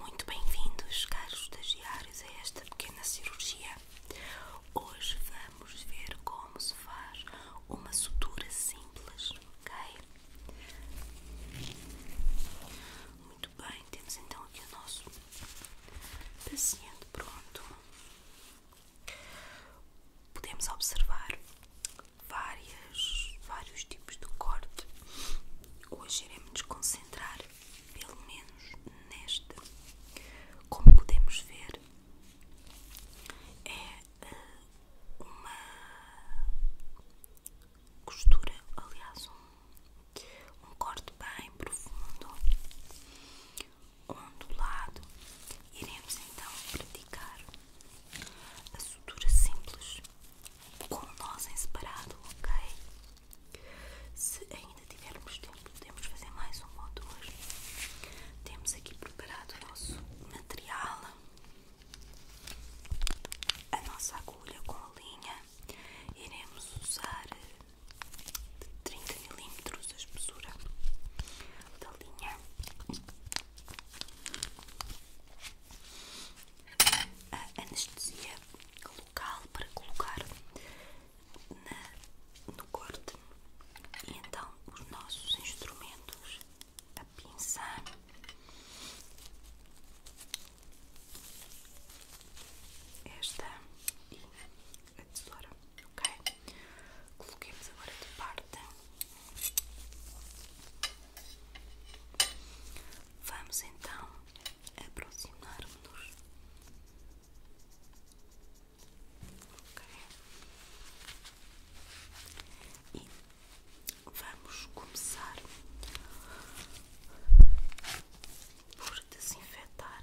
Muito bem-vindos, caros estagiários, a esta pequena cirurgia. Hoje vamos ver como se faz uma sutura simples, ok? Muito bem, temos então aqui o nosso paciente pronto. Podemos observar várias, vários tipos de corte. Hoje iremos nos concentrar, pelo menos, neste. Como podemos ver, é eh, uma costura, aliás, um, um corte bem profundo ondulado. Iremos então praticar a sutura simples com o nós em separado, ok? Se ainda tivermos tempo, podemos fazer mais um ou dois. Temos aqui preparado o nosso material, a nossa agulha com a linha. Iremos usar de 30 milímetros a espessura da linha a anestesia local para colocar no corte e então os nossos instrumentos a pinça esta e a tesoura, ok? Coloquemos agora de parte. Vamos então aproximar-nos. Okay. E vamos começar por desinfetar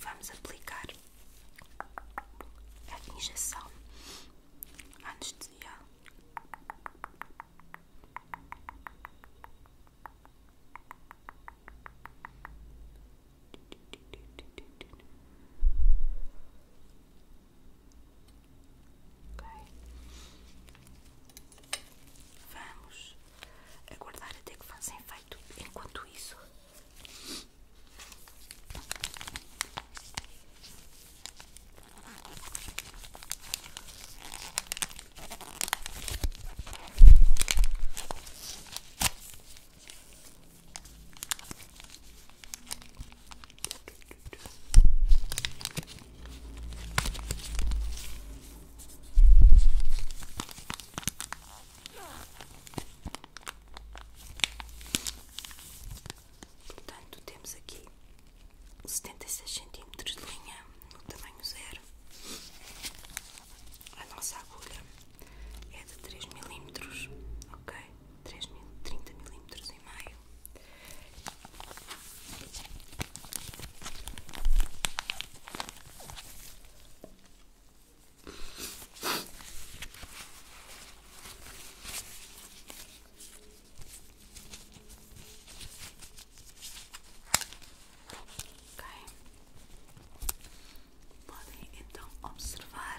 Vamos aplicar a injeção antes anestesial. Ok. Vamos aguardar até que faça efeito. Enquanto isso. Portanto, temos aqui setenta e seis centímetros de linha no tamanho zero. A nossa agulha é de três milímetros, ok? três mil, trinta milímetros e meio Okay. Podem então observar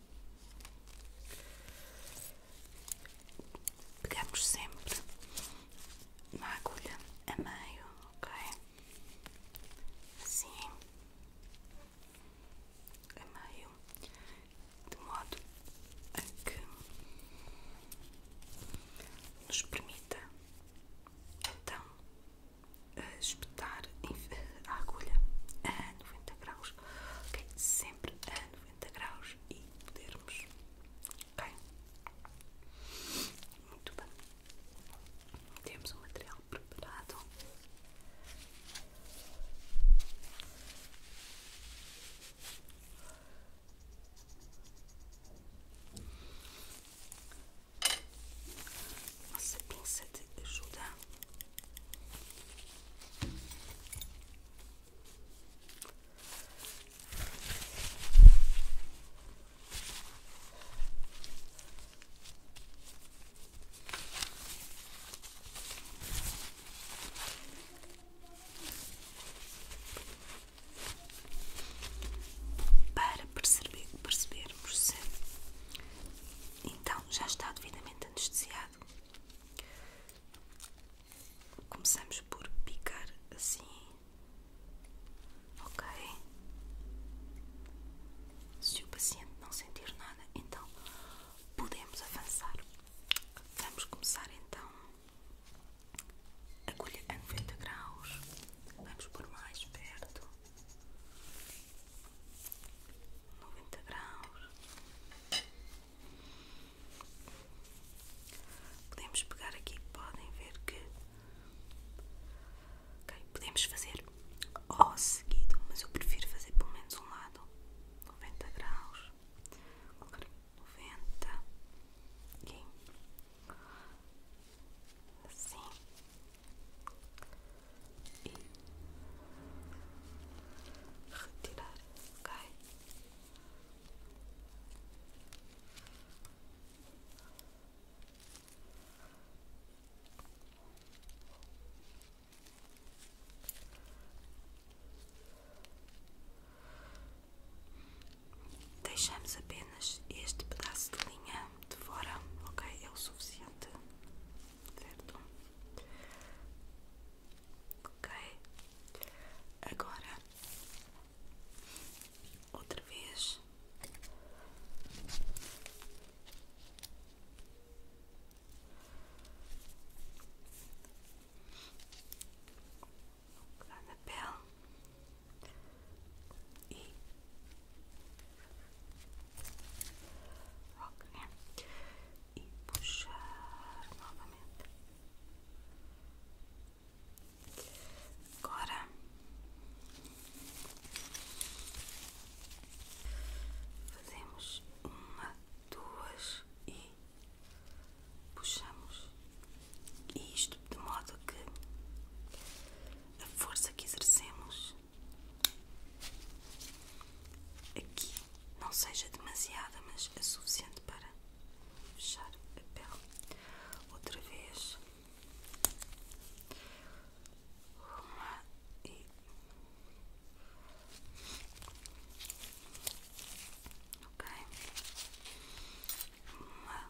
Pegamos sempre uma agulha a meio, ok? Assim, a meio, de modo a que nos permita então eh, espetar eh, a agulha a 90 graus Sempre a noventa graus e podermos, ok? Muito bem. Temos o um material preparado. Nossa pinça de ajuda para perceber, percebermos se então já está devidamente anestesiado Começamos por picar assim, ok? Se o paciente não sentir nada, então podemos avançar. Vamos começar então a agulha a 90 graus. Vamos por mais perto. 90 graus. Podemos pegar aqui, podem ver que podemos fazer O seguido, mas eu prefiro fazer pelo menos um lado 90 graus, colocar 90 aqui assim e retirar Okay. Deixamos apenas este pedaço de linha de fora, ok? É o suficiente, certo? ok? Agora, outra vez. na pele e ok, e puxar novamente. Agora fazemos uma, duas e puxamos. isto de modo que a força que exercemos aqui não seja demasiada, mas é suficiente para fechar a pele. Outra vez, uma e ok, uma.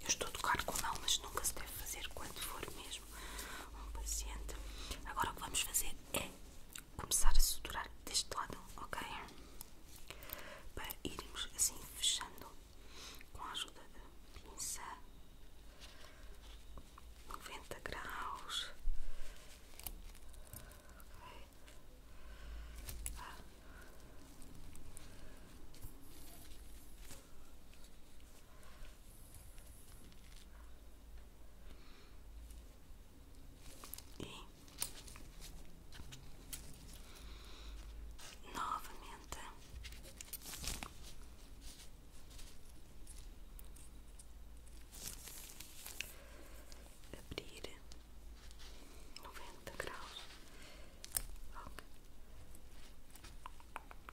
eu estou a tocar com a mão, mas nunca se deve fazer quando for mesmo um paciente. Agora o que vamos fazer é começar a suturar deste lado, ok? Para irmos assim fechando com a ajuda da pinça 90 graus. Okay. Ah. E novamente abrir noventa graus.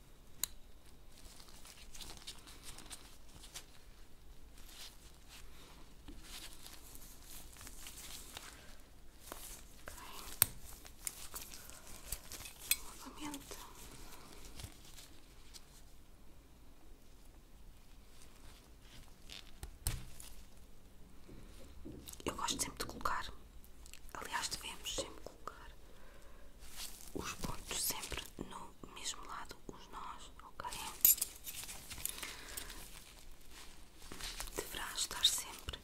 Novamente. Eu gosto sempre de colocar, aliás devemos sempre colocar os pontos sempre no são o mesmo lado os nós, ok? Deverá estar sempre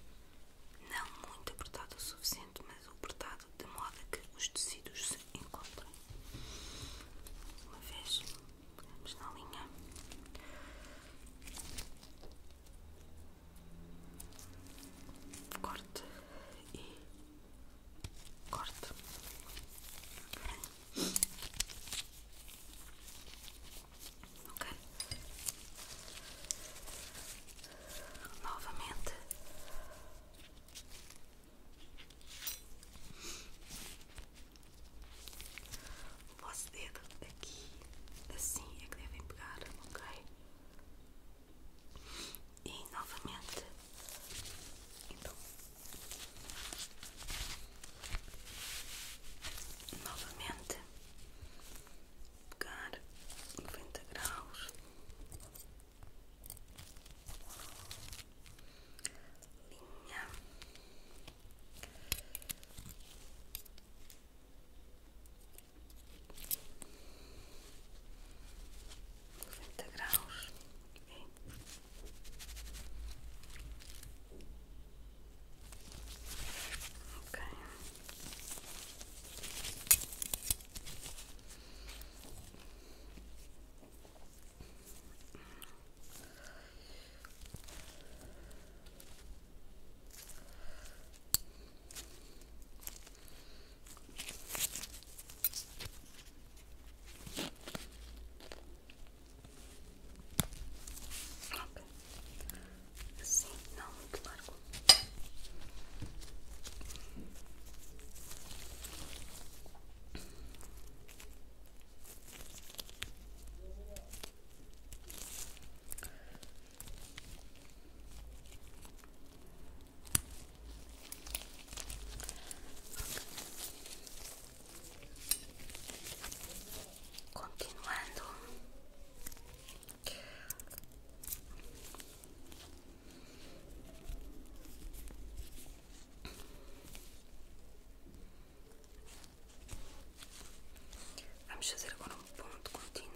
não muito apertado o suficiente, mas apertado de modo a que os tecidos se encontrem. Uma vez, vamos na linha. Corte e corte. Ok. Novamente. O vosso dedo aqui, assim é que devem pegar, ok? e novamente então novamente pegar noventa graus Linha 90 graus ok Ok. Assim, não muito largo. Continuando, vamos fazer agora um ponto continuo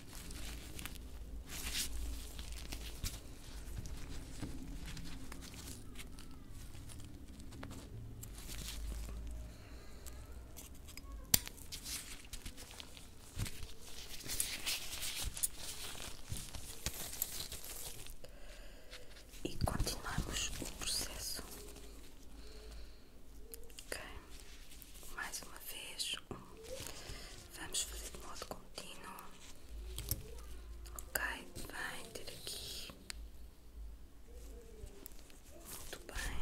E continuamos o processo. Ok, mais uma vez, Vamos fazer de modo contínuo. Ok, vai ter aqui. Muito bem.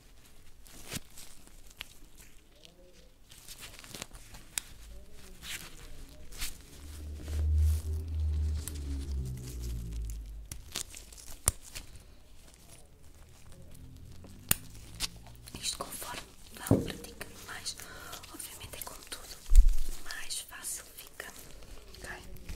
Isto conforme vão praticando mais, obviamente é como tudo, mais fácil fica. Ok? Novamente.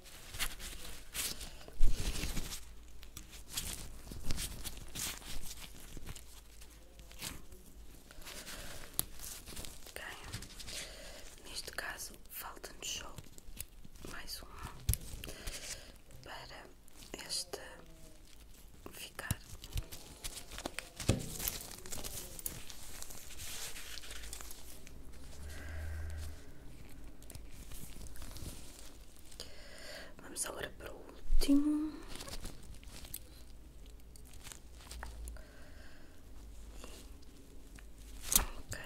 Neste caso, falta-nos só mais uma para esta ficar. Vamos agora para o último. Ok.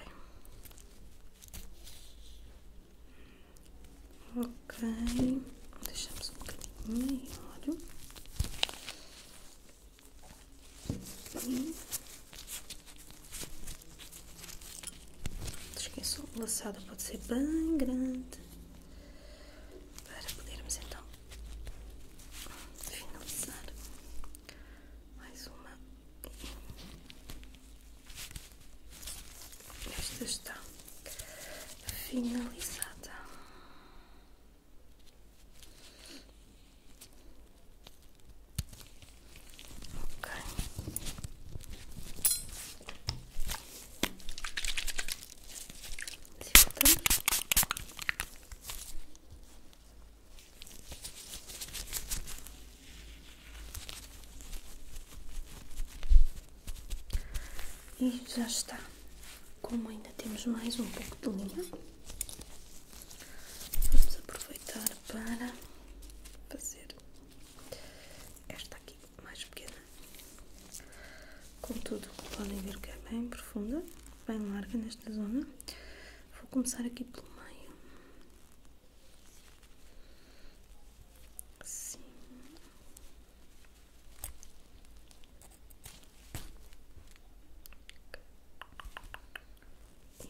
Ok. Deixamos um bocadinho melhor. Esqueçam, é o laçado pode ser bem grande para podermos então finalizar mais uma. Esta está finalizada. E já está. Como ainda temos mais um pouco de linha, vamos aproveitar para fazer esta aqui, mais pequena. Contudo, podem ver que é bem profunda, bem larga nesta zona. Vou começar aqui pelo meio. Assim. E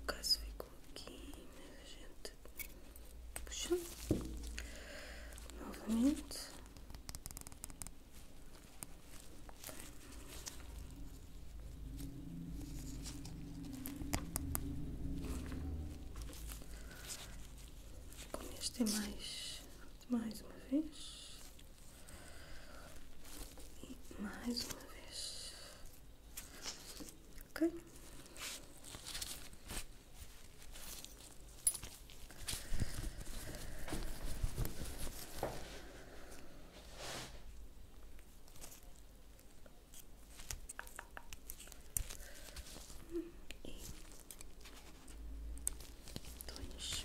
O caso ficou aqui, mas a gente puxa novamente. Com este é mais, mais uma vez. E mais uma vez. Ok? Hum, dois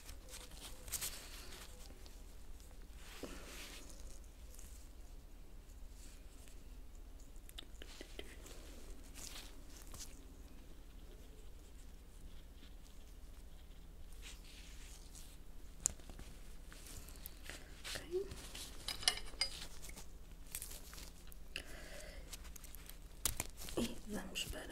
E vamos para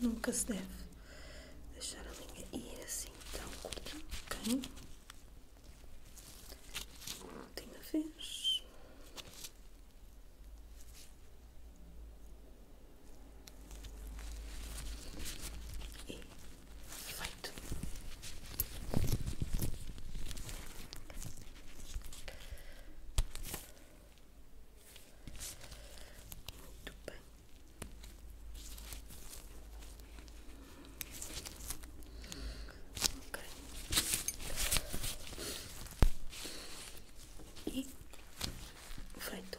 Nunca se deve deixar a linha ir assim tão curtinho, ok? Última vez. E feito. Muito bem. E feito.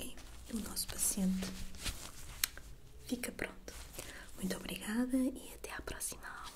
E o nosso paciente fica pronto. Muito obrigada e até à próxima aula.